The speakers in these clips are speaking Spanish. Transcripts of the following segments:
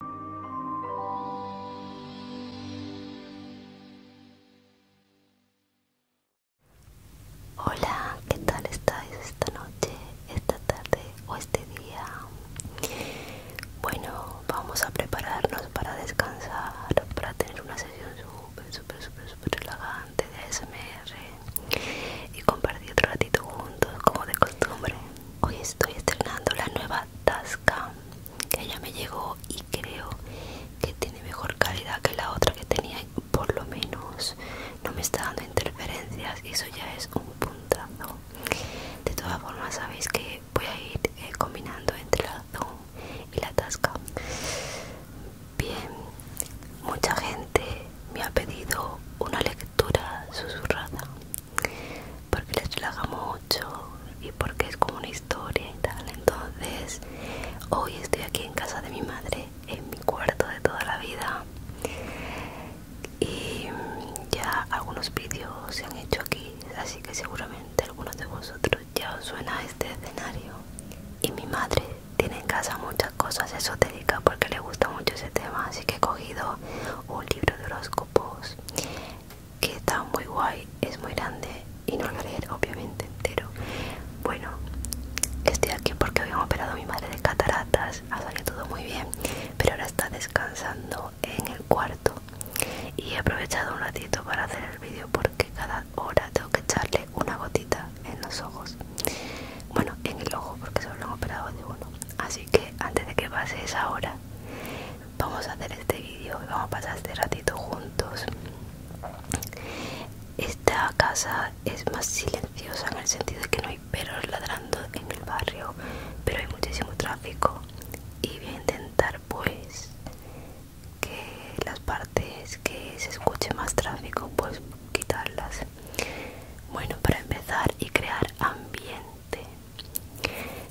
Hola, ¿qué tal estáis esta noche, esta tarde o este día? Bueno, vamos a prepararnos para descansar, para tener una sesión súper, súper, súper, súper relajante de ASMR y compartir otro ratito juntos como de costumbre. Hoy estoy estrenando la nueva TASCA que ya me llegó y creo que tiene mejor calidad que la otra que tenía por lo menos no me está dando interferencias y eso ya es un puntazo de todas formas sabéis que voy a ir eh, combinando entre la zoom y la tasca bien mucha gente me ha pedido una lectura susurrada porque les relaja mucho y porque es como una historia y tal. Entonces, hoy estoy aquí en casa de mi madre, en mi cuarto de toda la vida. Y ya algunos vídeos se han hecho aquí, así que seguramente algunos de vosotros ya os suena este escenario. Y mi madre tiene en casa muchas cosas esotéricas porque le gusta mucho ese tema, así que he cogido un libro de horóscopos que está muy guay, es muy grande y no lo leer obviamente entero. Bueno, estoy aquí porque habían operado a mi madre de cataratas, ha salido todo muy bien, pero ahora está descansando en el cuarto y he aprovechado un ratito para hacer el vídeo porque cada hora tengo que echarle una gotita en los ojos. Bueno, en el ojo porque solo lo han operado de uno. Así que antes de que pase esa hora, vamos a hacer este vídeo y vamos a pasar este ratito juntos esta casa es más silenciosa en el sentido de que no hay perros ladrando en el barrio pero hay muchísimo tráfico y voy a intentar pues que las partes que se escuche más tráfico pues quitarlas bueno para empezar y crear ambiente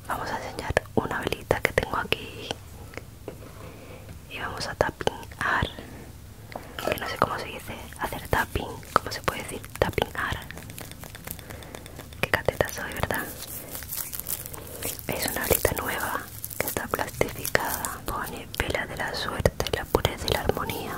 vamos a enseñar una velita que tengo aquí y vamos a tapingar que no sé cómo se dice hacer tapping cómo se puede decir tapingar qué cateta soy verdad es una velita nueva que está plastificada pone vela de la suerte la pureza y la armonía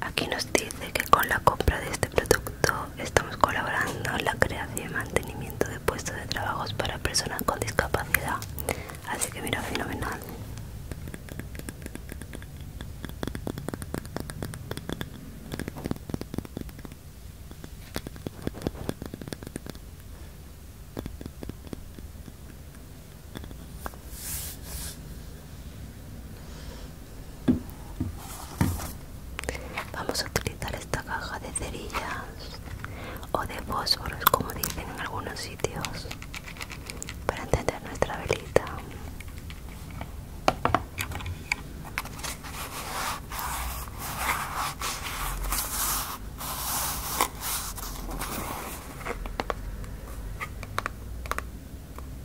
Aquí nos dice que con la compra de este producto estamos colaborando en la creación y mantenimiento de puestos de trabajos para personas con discapacidad. Así que mira, fenomenal. Vamos a utilizar esta caja de cerillas o de fósforos, como dicen en algunos sitios, para encender nuestra velita.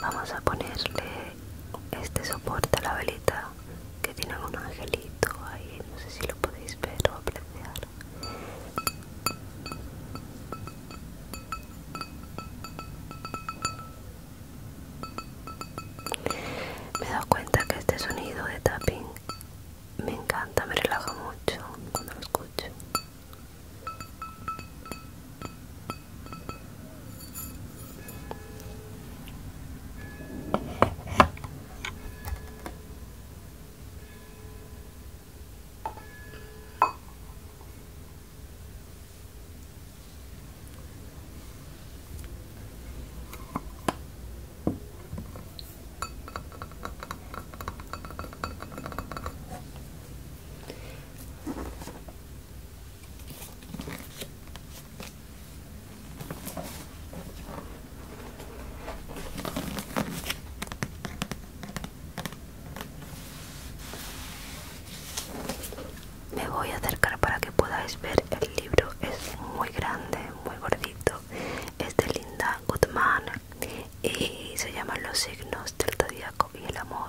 Vamos a ponerle este soporte a la velita que tiene un angelito ahí, no sé si lo podéis ver o apreciar. Me he dado cuenta que este sonido de tapping me encanta, me relaja mucho cuando lo escucho. Me voy a acercar para que podáis ver el libro. Es muy grande, muy gordito. Es de Linda Goodman, y se llaman los signos del zodiaco y el amor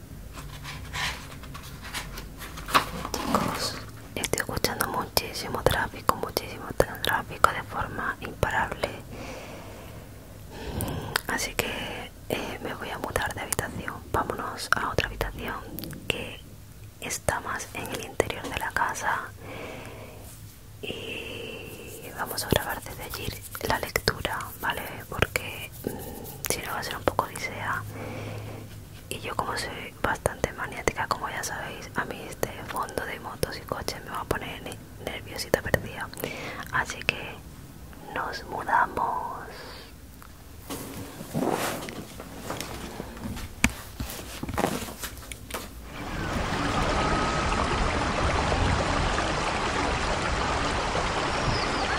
Chicos, estoy escuchando muchísimo tráfico, muchísimo tráfico de forma imparable. Mm, así que eh, me voy a mudar de habitación. Vámonos a otra habitación que está más en el interior de la casa. Y vamos a grabar desde allí la lectura, ¿vale? Porque mm, si no va a ser un poco odisea y yo como soy bastante maniática como ya sabéis a mí este fondo de motos y coches me va a poner nerviosita perdida así que nos mudamos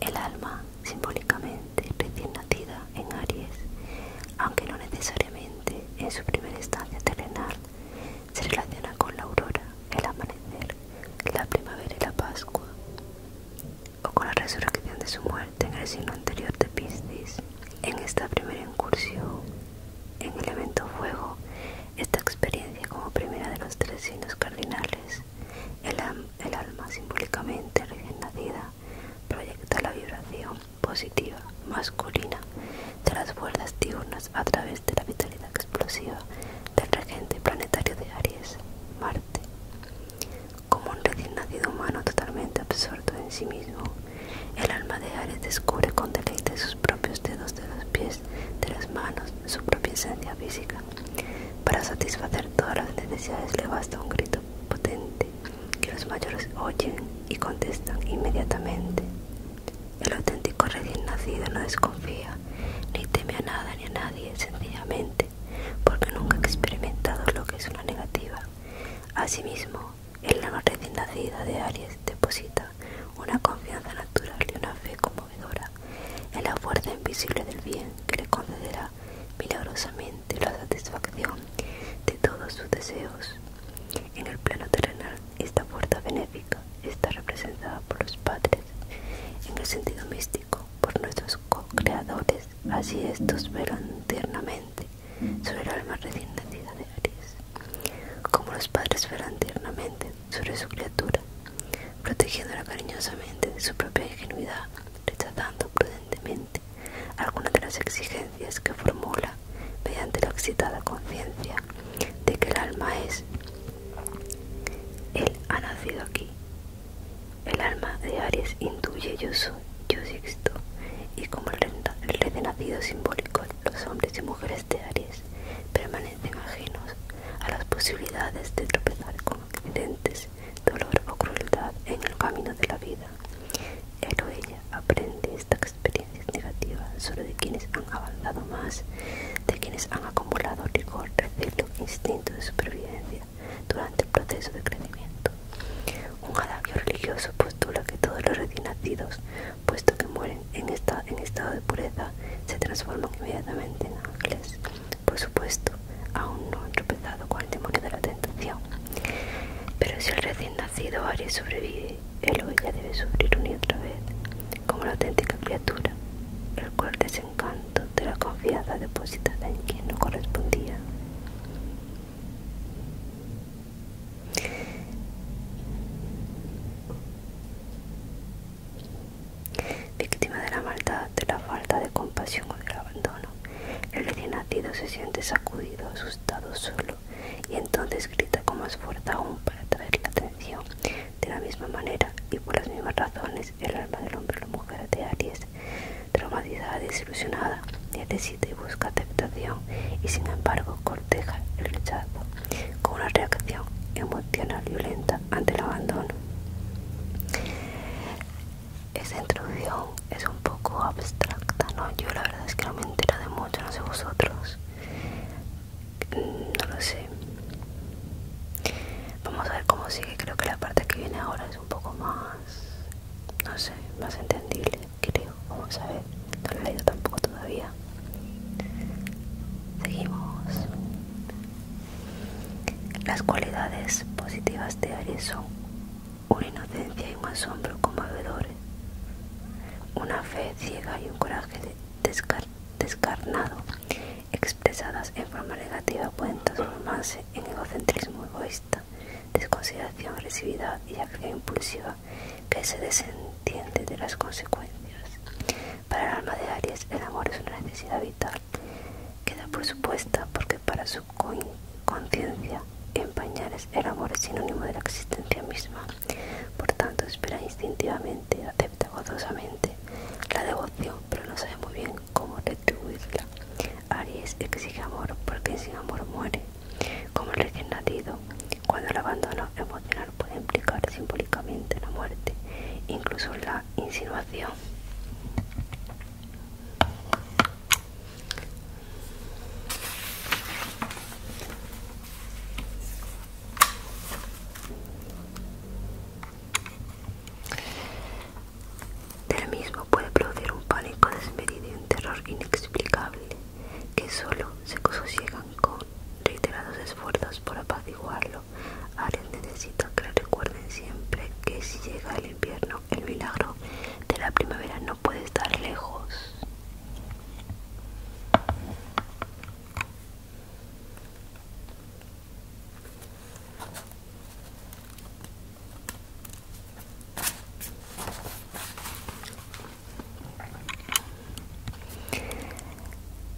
El alma, simbólicamente recién nacida en Aries, aunque no necesariamente en su primer estancia terrenal, se relaciona con la aurora, el amanecer, la primavera y la Pascua o con la resurrección de su muerte en el signo anterior de Piscis. En esta primera incursión en el evento fuego, esta experiencia como primera de los tres signos cardinales, el, alma simbólicamente recién proyecta la vibración positiva masculina de las vueltas diurnas a través de la vitalidad explosiva del regente planetario de Aries, Marte. Como un recién nacido humano totalmente absorto en sí mismo, el alma de Aries descubre con deleite sus propios dedos de los pies, de las manos, su propia esencia física. Para satisfacer todas las necesidades le basta un grito potente que los mayores oyen y contestan inmediatamente. El auténtico recién nacido no desconfía, ni teme a nada ni a nadie, sencillamente porque nunca ha experimentado lo que es una negativa. Asimismo, en la recién nacida de Aries deposita una confianza natural y una fe conmovedora en la fuerza invisible del bien que le concederá milagrosamente la satisfacción de todos sus deseos. En el plano terrenal, esta fuerza benéfica está representada por los padres, en el sentido místico, por nuestros co-creadores Así estos verán tiernamente sobre el alma recién nacida de Aries, como los padres verán tiernamente sobre su criatura, protegiéndola cariñosamente de su propia ingenuidad, rechazando prudentemente algunas de las exigencias que formula mediante la excitada conciencia de que el alma es, él ha nacido aquí el alma de Aries intuye yo soy, yo existo, y como el, el renacido simbólico, los hombres y mujeres de Aries permanecen ajenos a las posibilidades de tropezar con accidentes, dolor o crueldad en el camino de la vida. Él o ella aprende estas experiencias negativas solo de quienes han avanzado más, de quienes han acumulado rigor, recelo, instinto de supervivencia durante el proceso de crecimiento. Un jadavio religioso postula que todos los recién nacidos, puesto que mueren en, estado de pureza, se transforman inmediatamente en ángeles. Por supuesto, aún no han tropezado con el de la tentación. Pero si el recién nacido Aries sobrevive, él o ella debe sufrir una y otra vez, como la auténtica criatura, el cual desencanta de la confianza depositada en quien no correspondía. Víctima de la maldad, de la falta de compasión o del abandono, el recién nacido se siente sacudido, asustado, solo y entonces grita con más fuerza aún para atraer la atención. De la misma manera y por las mismas razones, el alma del hombre o la mujer de Aries Traumatizada, desilusionada, necesita y busca aceptación y sin embargo corteja el rechazo con una reacción emocional violenta ante el abandono. Esta introducción es un poco abstracta, ¿no? Yo la verdad es que no me entera de mucho, no sé vosotros. Mm, no lo sé. Vamos a ver cómo sigue, creo que la parte que viene ahora es un poco más no sé, más entendible, creo. Vamos a ver, no lo he leído tampoco todavía. Seguimos. Las cualidades positivas de Aries son una inocencia y un asombro conmovedores, una fe ciega y un coraje descarnado, expresadas en forma negativa pueden transformarse en egocentrismo egoísta, desconsideración agresividad y acción impulsiva que se desentiende de las consecuencias. Para el alma de Aries, el amor es una necesidad vital Queda por supuesta porque para su conciencia en pañales el amor es sinónimo de la existencia misma. Por tanto, espera instintivamente, acepta gozosamente la devoción, pero no sabe muy bien como retribuirla. Aries exige amor porque sin amor muere, como el recién nacido. Cuando el abandono emocional puede implicar simbólicamente la muerte, incluso la insinuación. Del mismo puede producir un pánico desmedido y un terror inexplicable que solo se sosiegan con reiterados esfuerzos por apaciguarlo. Aries necesita que recuerden siempre que si llega el invierno, el milagro de la primavera no puede estar lejos.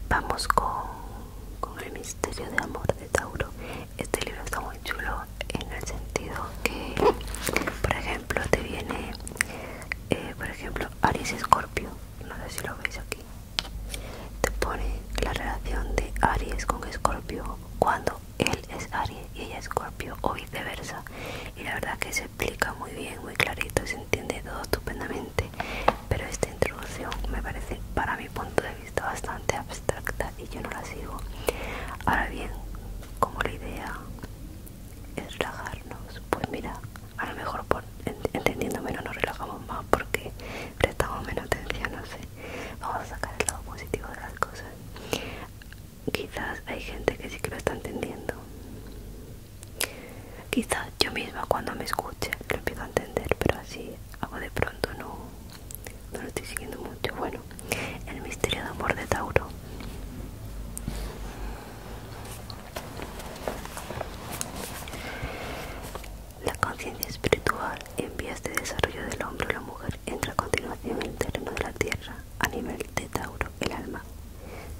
Vamos con, con el misterio de amor de Tauro. Este libro está muy chulo en el sentido que, por ejemplo, te viene, eh, por ejemplo, Aries Escorpio. No sé si lo veis aquí. Te pone la relación de Aries con Escorpio cuando él es Aries y ella es Scorpio o viceversa y la verdad que se explica muy bien, muy clarito, se entiende todo estupendamente pero esta introducción me parece para mi punto de vista bastante abstracta y yo no la sigo ahora bien, como la idea es relajarnos pues mira, a lo mejor por entendiendo menos nos relajamos más porque prestamos menos atención, no sé vamos a sacar el lado positivo de las cosas Quizás hay gente que sí que lo está entendiendo. Quizás yo misma cuando me escuche lo empiezo a entender, pero así hago de pronto no, lo estoy siguiendo mucho. Bueno, el misterio de amor de Tauro. La conciencia espiritual en vías de desarrollo del hombre la mujer entra a continuación en el terreno de la tierra a nivel de Tauro, el alma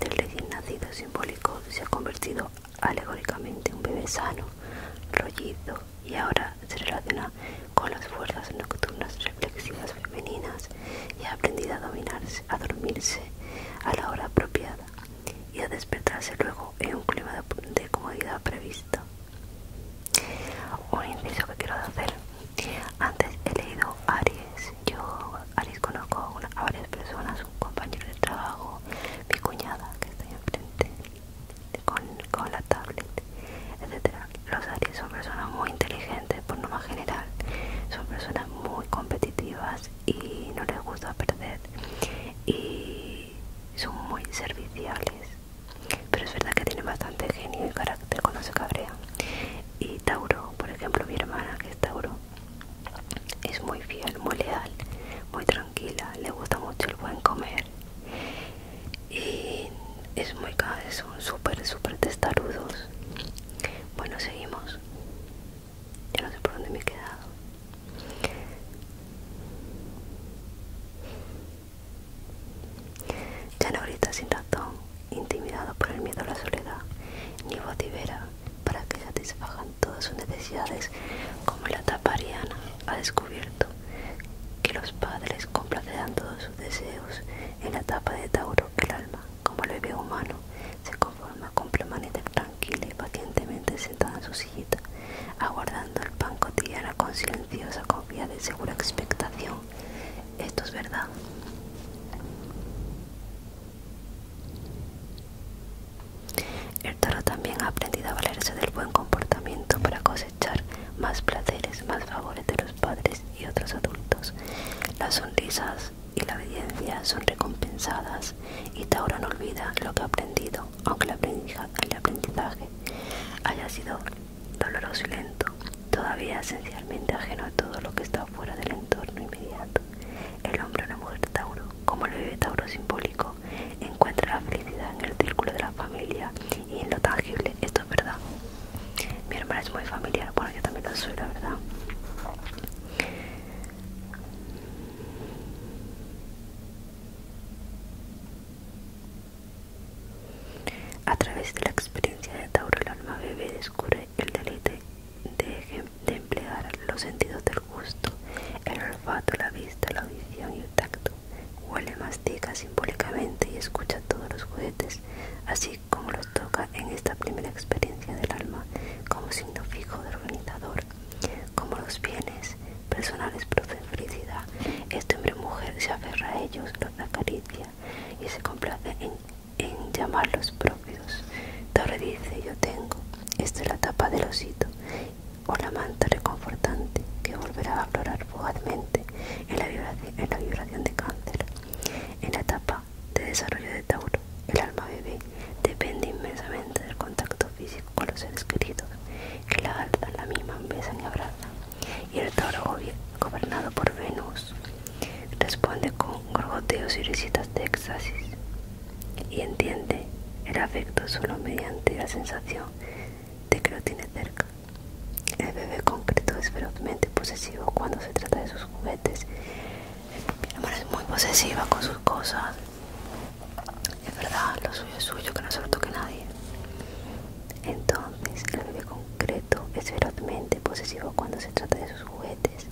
del recién nacido simbólico se ha convertido alegóricamente en un bebé sano, rollito y ahora se relaciona con las fuerzas nocturnas reflexivas femeninas y ha aprendido a dominarse, a dormirse a la hora apropiada y a despertarse luego en un clima de comodidad previsto. Un inciso que quiero hacer. Antes he leído Aries. Yo Aries conozco a varias personas, un compañero de trabajo, mi cuñada que está en enfrente con, con la tablet, etc Los Aries son personas muy inteligentes por más general. Son personas muy competitivas y no les gusta perder. Y son muy serviciales pero es verdad que tiene bastante genio y carácter cuando se cabrea. Y Tauro, por ejemplo, mi hermana que es Tauro, es muy fiel, muy leal, muy tranquila, le gusta mucho el buen comer. Y es muy son súper, súper testarudos. Bueno, seguimos. Ya no sé por dónde me he quedado. Ya no grita sin ratón intimidado por el miedo a la soledad, ni vocifera para que satisfagan todas sus necesidades, como la tapa ha descubierto que los padres complacerán todos sus deseos en la tapa de Tauro, el alma, como el bebé humano, se conforma con permanecer tranquila y pacientemente sentada en su sillita, aguardando el pan cotidiano con silenciosa copia de segura expectación esto es verdad. El toro también ha aprendido a valerse del buen comportamiento para cosechar más placeres, más favores de los padres y otros adultos. Las sonrisas y la obediencia son recompensadas y Tauro no olvida lo que ha aprendido, aunque el aprendizaje haya sido doloroso y lento, todavía esencialmente ajeno a todo lo que está fuera del entorno inmediato. El hombre o la mujer Tauro, como el vive Tauro simbólico, encuentra la felicidad en el círculo de la familia y en lo tangible, esto es verdad. Mi hermana es muy familiar, bueno yo también lo soy, la verdad. A través de la experiencia de Tauro, el alma bebé descubre el deleite de, emplear los sentidos del gusto, el olfato, la vista, la audición y el tacto. Huele, mastica simbólicamente y escucha todos los juguetes, así como los toca en esta primera experiencia del alma como signo fijo de organizador, como los bienes personales producen felicidad. Este hombre mujer se aferra a ellos, los acaricia, y se complace en, llamarlos propios. Torre dice, yo tengo, esta es la tapa del osito o la manta reconfortante que volverá a aflorar fugazmente en la, vibración, en la vibración de cáncer. En la etapa de desarrollo de Tauro, el alma bebé depende inmensamente del contacto físico con los seres queridos, que la alzan, la misma besan y abrazan y el toro gobernado por Venus responde con gorgoteos y risitas de éxtasis y entiende el afecto solo mediante la sensación de que lo tiene cerca. El bebé concreto es ferozmente posesivo cuando se trata de sus juguetes. Mi hermana es muy posesiva con sus cosas. Es verdad, lo suyo es suyo, que no se lo toque nadie. Entonces, el bebé concreto es ferozmente posesivo cuando se trata de sus juguetes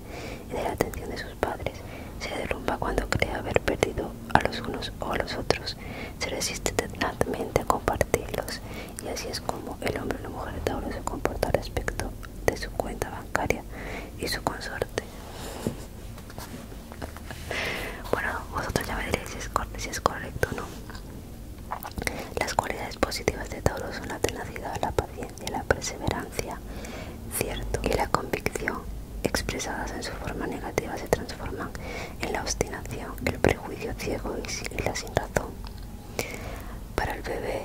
y de la atención de sus padres. Se derrumba cuando cree haber perdido a los unos o a los otros. Se resiste tenazmente a compartirlos. Y así es como el hombre o la mujer de Tauro se comporta respecto de su cuenta bancaria y su consorte. Bueno, vosotros ya veréis si es, si es correcto o no. Las cualidades positivas de Tauro son la tenacidad, la paciencia, la perseverancia, cierto, y la convicción, expresadas en su forma negativa, se transforman en la obstinación, el prejuicio ciego y la sin razón. Para el bebé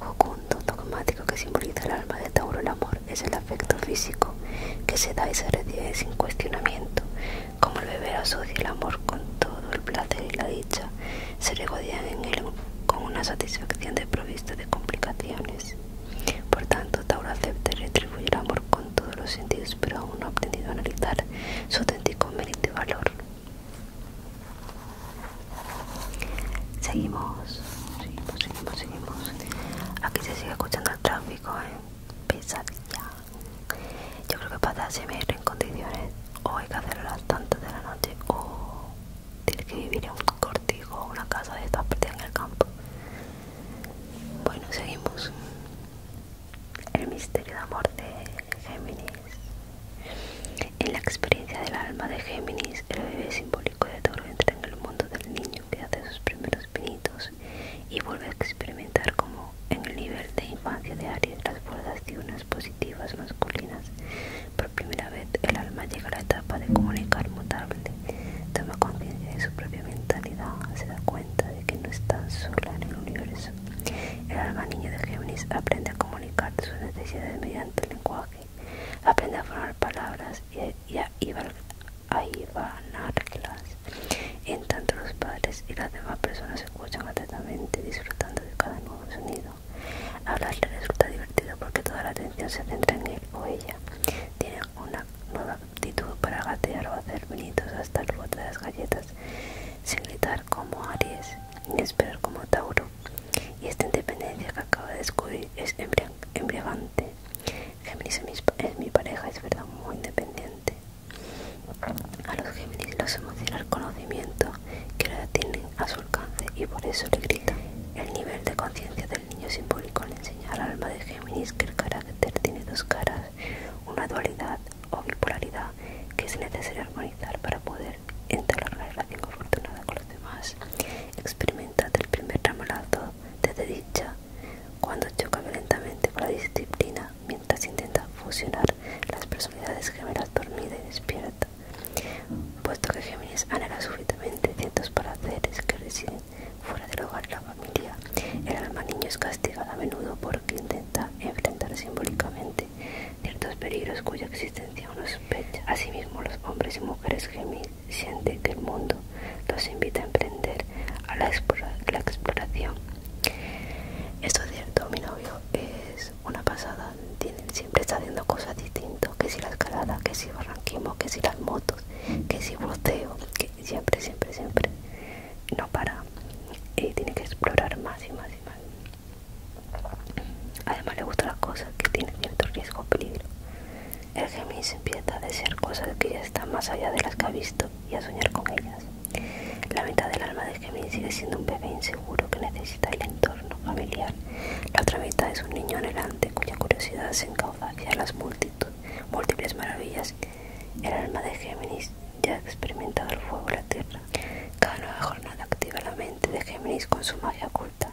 jocundo, dogmático que simboliza el alma de Tauro, el amor es el afecto físico que se da y se recibe sin cuestionamiento. Como el beber asocia el amor con todo el placer y la dicha, se regodean en él con una satisfacción desprovista de complicaciones. Por tanto, Tauro acepta retribuir el amor con todos los sentidos, pero aún no ha aprendido a analizar su auténtico mérito y valor. Seguimos, seguimos, seguimos, seguimos. Aquí se sigue escuchando el tráfico, en ¿eh? Pesadilla. Yo creo que para ASMR en condiciones o hay que hacerlo a las tantas de la noche o tienes que vivir en un cortijo o una casa de esta parte en el campo. Bueno, seguimos. El misterio de amor de Géminis. En la experiencia del alma de Géminis, el bebé simbólico de Toro entra en el mundo del niño que hace sus primeros pinitos y vuelve a experimentar como en el nivel de infancia de Aries, las fuerzas diurnas positivas masculinas. Por primera vez, el alma llega a la etapa de comunicar mutable. Toma conciencia de su propia mentalidad, se da cuenta de que no está sola en el universo. El alma niño de Géminis aprende a comunicar sus necesidades mediante el lenguaje, aprende a formar palabras y a, y En tanto, los padres y las demás personas escuchan atentamente disfrutando de cada nuevo sonido. Hablarle resulta divertido porque toda la atención se centra en él o ella. tiene una nueva actitud para gatear o hacer vinitos hasta el bote de las galletas, sin gritar como Aries, ni esperar como Tauro. Y esta independencia que acaba de descubrir es embriagante. Géminis es mi pareja, es verdad, muy independiente. A los Géminis los emociona el conocimiento que ahora tienen a su alcance y por eso le grita. El nivel de conciencia del niño simbólico le enseña al alma de Géminis que el carácter tiene dos caras, una dualidad o bipolaridad que es necesario armonizar para poder entablar la relación afortunada con los demás. Experimenta el primer ramalazo de dicha cuando choca violentamente con la disciplina mientras intenta fusionar las personalidades gemelas dormida y despierta, puesto que Géminis anhela súbitamente ciertos paraceres que residen fuera del hogar de la familia. El alma niño es castigada a menudo porque intenta enfrentar simbólicamente ciertos peligros cuya existencia uno sospecha. Asimismo, los hombres y mujeres Géminis sienten que el mundo los invita a emprender a la, la exploración. Es cierto, mi novio es una pasada, siempre está haciendo cosas distintas, que si la escalada, que si barranquismo, que si las motos, que si buceo, que siempre, siempre, siempre no para y tiene que explorar más y más y más. Además le gusta las cosas que tienen cierto riesgo o peligro. El gemis empieza a desear cosas que ya están más allá de las que ha visto y a soñar con ellas. La mitad del alma de Géminis sigue siendo un bebé inseguro que necesita el entorno familiar. La otra mitad es un niño anhelante cuya curiosidad se encauza hacia las múltiples maravillas. El alma de Géminis ya ha experimentado el fuego y la tierra. Cada nueva jornada activa la mente de Géminis con su magia oculta,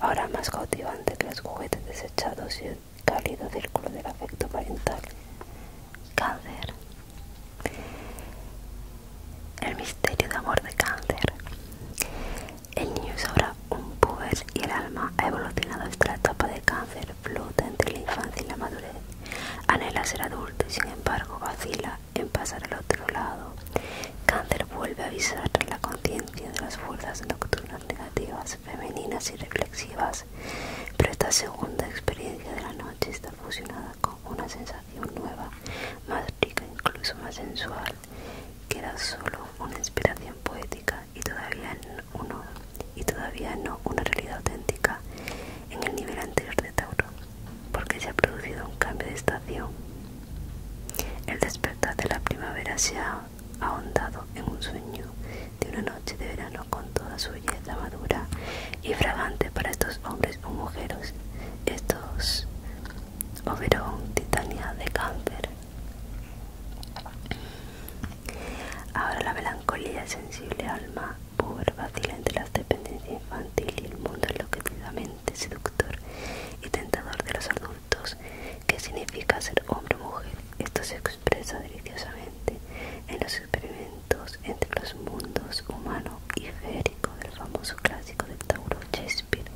ahora más cautivante que los juguetes desechados y el cálido círculo del afecto parental. Cáncer el misterio de amor de cáncer. El niño es ahora un puber y el alma ha evolucionado hasta la etapa de cáncer, flota entre la infancia y la madurez. Anhela ser adulto y sin embargo vacila en pasar al otro lado. Cáncer vuelve a avisar la conciencia de las fuerzas nocturnas negativas, femeninas y reflexivas, pero esta segunda experiencia de la noche está fusionada con una sensación nueva, más rica, incluso más sensual, que era solo una inspiración poética y todavía uno y todavía no una realidad auténtica en el nivel anterior de Tauro, porque se ha producido un cambio de estación. El despertar de la primavera se ha ahondado en un sueño de una noche de verano con toda su belleza madura y fragante para estos hombres o mujeres. Estos Oberón, titanía de cáncer. Ahora la melancolía sensible alma pobre vacila entre las dependencias infantil y el mundo enloquecidamente seductor y tentador de los adultos. ¿Qué significa ser hombre o mujer? Esto se expresa deliciosamente en los experimentos entre los mundos humano y fe el del famoso clásico del Tauro Shakespeare.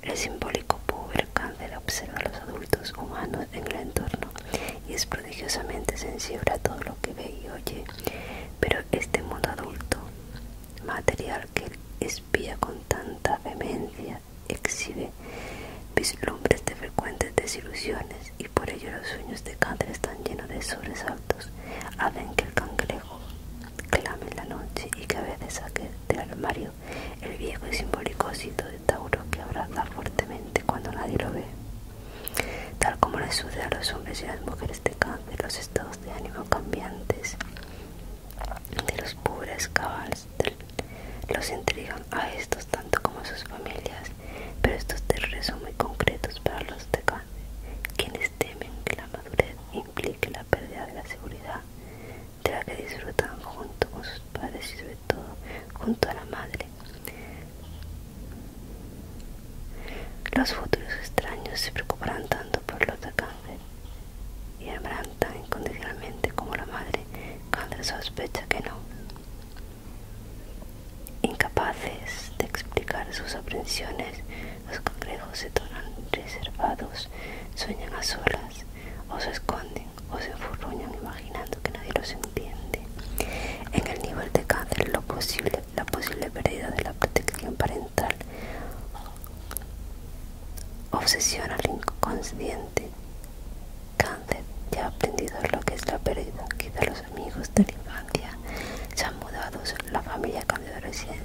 El simbólico puber cáncer observa a los adultos humanos en el entorno y es prodigiosamente sensible a todo lo que ve y oye, pero este mundo adulto, material que espía con tanta vehemencia, exhibe vislumbres de frecuentes desilusiones y por ello los sueños de cáncer están llenos de sobresaltos, hacen que el cangrejo clame en la noche y que a veces saque del armario el viejo y simbólico osito de Tauro que abraza fuertemente cuando nadie lo ve. Tal como le sucede a los hombres y las mujeres de cáncer, los estados de ánimo cambiantes de los pobres caballos, los entregan a estos tanto como a sus familias, pero estos terrores son muy concretos para los de cáncer, quienes temen que la madurez y implique la pérdida de la seguridad de la que disfrutan junto con sus padres y sobre todo junto a la madre. Los futuros extraños se preocuparán tanto por los de cáncer y amarán tan incondicionalmente como la madre cuando sospecha que no. Incapaces de explicar sus aprensiones, los complejos se tornan reservados, sueñan a solas, o se esconden, o se enfurruñan imaginando que nadie los entiende. En el nivel de cáncer, lo posible, la posible pérdida de la protección parental obsesión al inconsciente. Cáncer ya ha aprendido lo que es la pérdida, quizá los amigos de la infancia se han mudado, la familia ha cambiado de residencia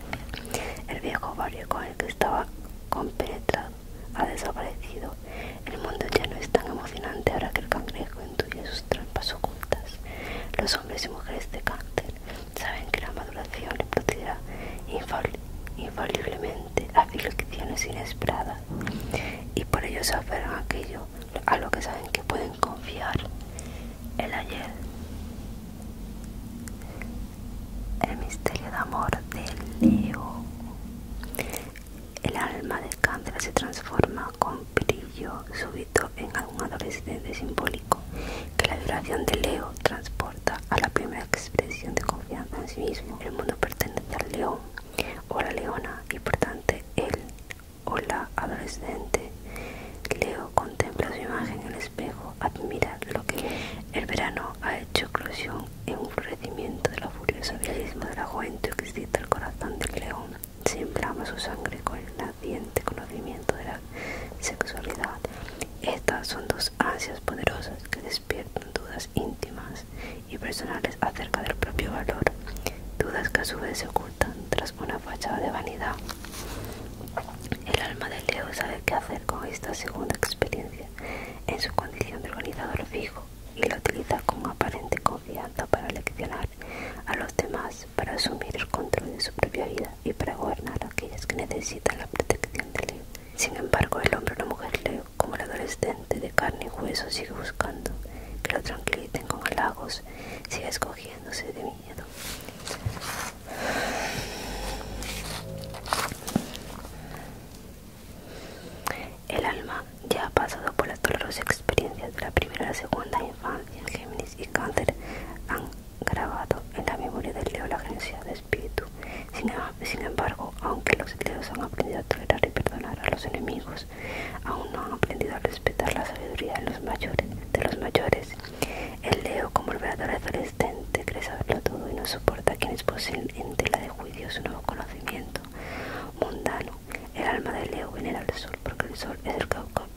el viejo barrio con el que estaba compenetrado ha desaparecido. El mundo ya no es tan emocionante ahora que el cangrejo intuye sus trampas ocultas. Los hombres y mujeres de cáncer saben que la maduración le producirá infaliblemente a aflicciones inesperadas y por ello se aferran a aquello a lo que saben que pueden confiar el ayer, el misterio de amor de Leo, el alma de Candela se transforma con brillo súbito en algún adolescente simbólico que la vibración de Leo transporta a la primera expresión de confianza en sí mismo. El mundo pertenece al león o la leona y por tanto él o la adolescente Leo contempla su imagen en el espejo admirar lo que el verano ha hecho eclosión en un florecimiento de la furiosa belleza de la juventud que excita el corazón del león. Se su sangre con el naciente conocimiento de la sexualidad. Estas son dos ansias poderosas que despiertan dudas íntimas y personales acerca del propio valor, dudas que a su vez se ocultan tras una fachada de vanidad. El alma de Leo sabe qué hacer con esta segunda experiencia en su condición de organizador fijo y la utiliza con aparente confianza para leccionar a los demás, para asumir el control de su propia vida y para gobernar a aquellos que necesitan la protección de Leo. Sin embargo, el hombre o la mujer Leo, como el adolescente de carne y hueso, sigue buscando que lo tranquilicen con halagos, sigue escogiéndose de mí el alma ya ha pasado por las dolorosas experiencias de la primera y la segunda infancia. Géminis y Cáncer han grabado en la memoria del Leo la agencia de espíritu. Sin, embargo, aunque los Leos han aprendido a tolerar y perdonar a los enemigos, aún no han aprendido a respetar la sabiduría de los mayores. De los mayores. El Leo, como el verdadero persistente, cree saberlo todo y no soporta a quienes poseen en tela de juicio su nuevo conocimiento mundano. El alma de Leo venera al sol, porque el sol es el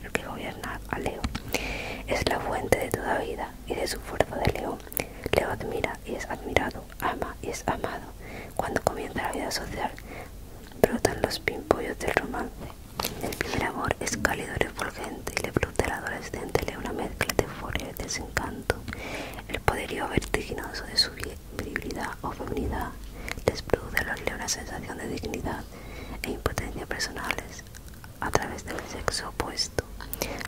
el que gobierna a Leo. Es la fuente de toda vida y de su fuerza de Leo. Leo admira y es admirado, ama y es amado. Cuando comienza la vida social, brotan los pimpollos del romance. El primer amor es cálido y refulgente y produce al adolescente le una mezcla de euforia y desencanto. El poderío vertiginoso de su virilidad o feminidad les produce a los una sensación de dignidad e impotencia personales a través del sexo opuesto.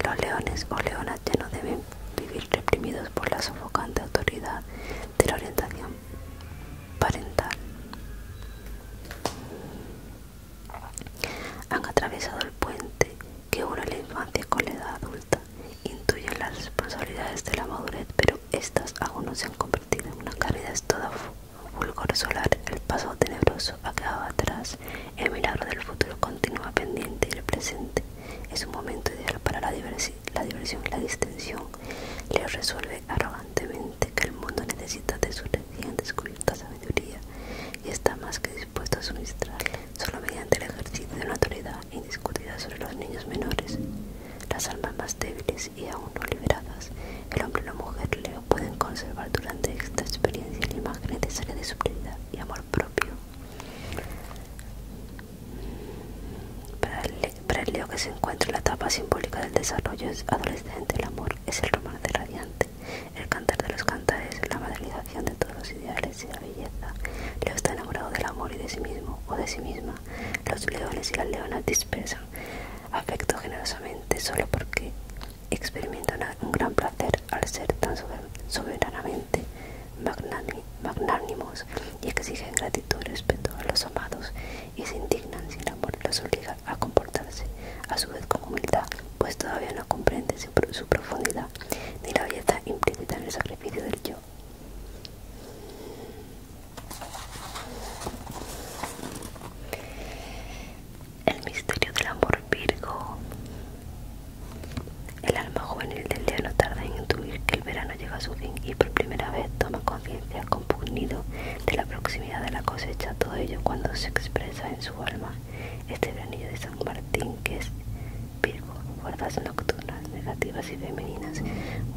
Los leones o leonas ya no deben vivir reprimidos por la sofocante autoridad de la orientación parental. Han atravesado el puente que une la infancia con la edad adulta. Intuyen las responsabilidades de la madurez, pero estas aún no se han convertido en una caridad toda fulgor solar. El pasado tenebroso ha quedado atrás. El milagro del futuro continúa pendiente y el presente es un momento ideal para la, la diversión y la distensión. Les resuelve arrogantemente que el mundo necesita de su recién descubiertas y está más que dispuesto a suministrarla, solo mediante el ejercicio de una autoridad indiscutida sobre los niños menores. Las almas más débiles y aún no liberadas, el hombre y la mujer Leo pueden conservar durante esta experiencia la imagen necesaria de su prioridad y amor propio. Para el, para Leo que se encuentra en la etapa simbólica del desarrollo adolescente, el amor es el romance radiante, el cantar de los cantares es la materialización de todos los ideales y la belleza. Leo está enamorado del amor y de sí mismo o de sí misma. Los leones y las leonas dispersan afecto generosamente solo porque experimentan un gran placer al ser tan soberanamente magnánimos y exigen gratitud y respeto a los amados y se indignan sin amor los obliga a comportarse a su vez con humildad, pues todavía no comprende su, profundidad ni la belleza implícita en el sacrificio del yo. El misterio del amor Virgo. El alma juvenil del día no tarda en intuir que el verano llega a su fin y por primera vez toma conciencia compugnido de la proximidad de la cosecha, todo ello cuando se expresa en su alma este granillo de San Martín, que es Virgo, fuerzas nocturnas, negativas y femeninas,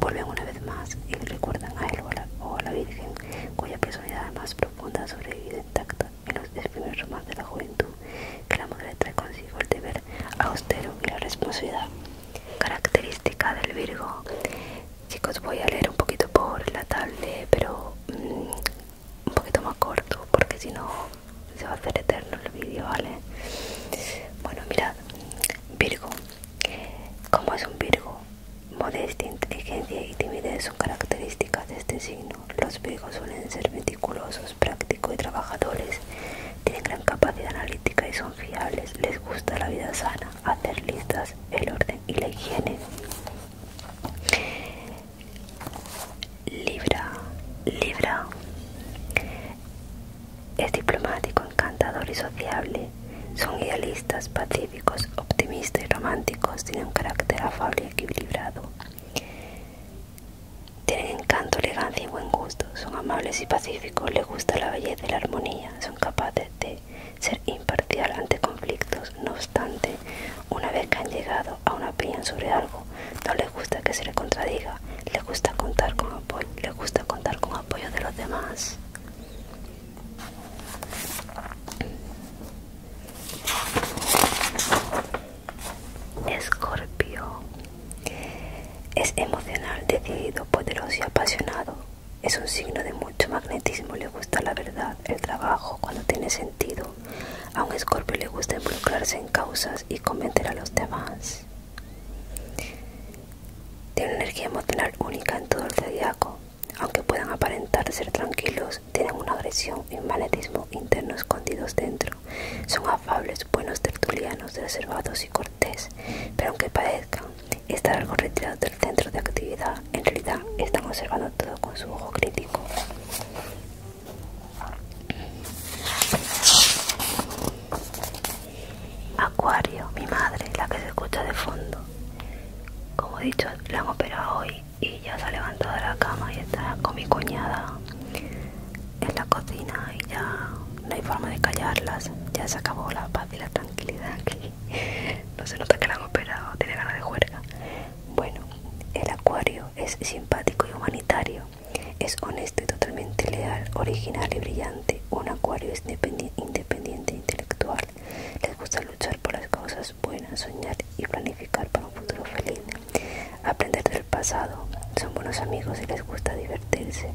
vuelven una vez más y recuerdan a él o a la, Virgen, cuya personalidad más profunda ha sobrevivido intacta en los primeros romances de la juventud, que la madre trae consigo el deber austero y la responsabilidad. Característica del Virgo. Chicos, voy a leer un poquito por la tarde pero mm, un poquito más corto porque si no se va a hacer eterno el vídeo, ¿vale? Bueno, mirad, Virgo. Como es un Virgo, modestia, inteligencia y timidez son características de este signo. Los Virgos suelen ser meticulosos, prácticos y trabajadores. Tienen gran capacidad analítica y son fiables. Les gusta la vida sana, hacer listas, el orden y la higiene. Libra, Libra. Es diplomático, encantador y sociable. Son idealistas, pacíficos, optimistas y románticos. Tienen un carácter afable y equilibrado. Tienen encanto, elegancia y buen gusto. Son amables y pacíficos. Les gusta la belleza y la armonía. Son capaces de ser imparcial ante conflictos. No una vez que han llegado a una opinión sobre algo, no les gusta que se le contradiga, les gusta contar con apoyo, les gusta contar con apoyo de los demás. Escorpio es emocional, decidido, poderoso y apasionado. Es un signo de mucho magnetismo, le gusta la verdad el trabajo, cuando tiene sentido. A un escorpio le gusta involucrarse en causas y convencer a los demás. Tiene una energía emocional única en todo el zodiaco. Aunque puedan aparentar ser tranquilos, tienen una agresión y un magnetismo interno escondidos dentro. Son afables, buenos tertulianos, reservados y cortés, pero aunque parezcan estar algo retirados del centro de actividad, en realidad están observando todo con su ojo crítico. Acuario, mi madre, la que se escucha de fondo. Como he dicho, la han operado hoy y ya se ha levantado de la cama y está con mi cuñada en la cocina y ya no hay forma de callarlas. Ya se acabó la paz y la tranquilidad aquí. No se nota que la han operado, tiene ganas de juerga. Bueno, el acuario es simpático y humanitario. Es honesto y totalmente leal, original y brillante. Un acuario es independiente e intelectual. Les gusta luchar por las cosas buenas, soñar y planificar para un futuro feliz. Aprender del pasado. Son buenos amigos y les gusta divertirse.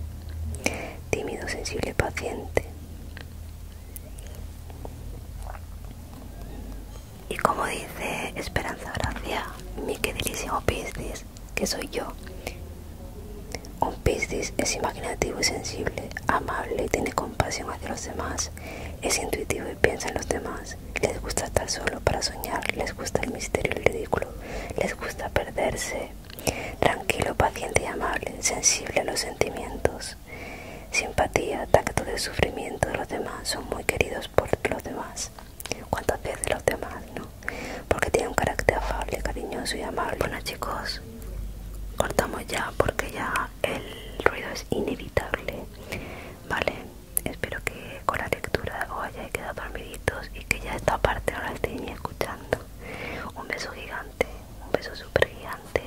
Tímido, sensible, paciente. Y como dice Esperanza Gracia, mi queridísimo Piscis, que soy yo. Un Piscis es imaginativo y sensible, amable y tiene compasión hacia los demás. Es intuitivo y piensa en los demás. Les gusta estar solo para soñar, les gusta el misterio y el ridículo, les gusta perderse. Tranquilo, paciente y amable, sensible a los sentimientos. Simpatía, tacto de sufrimiento de los demás son muy queridos pues, por los demás cuántas veces los demás no porque tiene un carácter afable cariñoso y amable bueno chicos cortamos ya porque ya el ruido es inevitable vale espero que con la lectura os hayáis quedado dormiditos y que ya esta parte ahora la estéis escuchando un beso gigante un beso súper gigante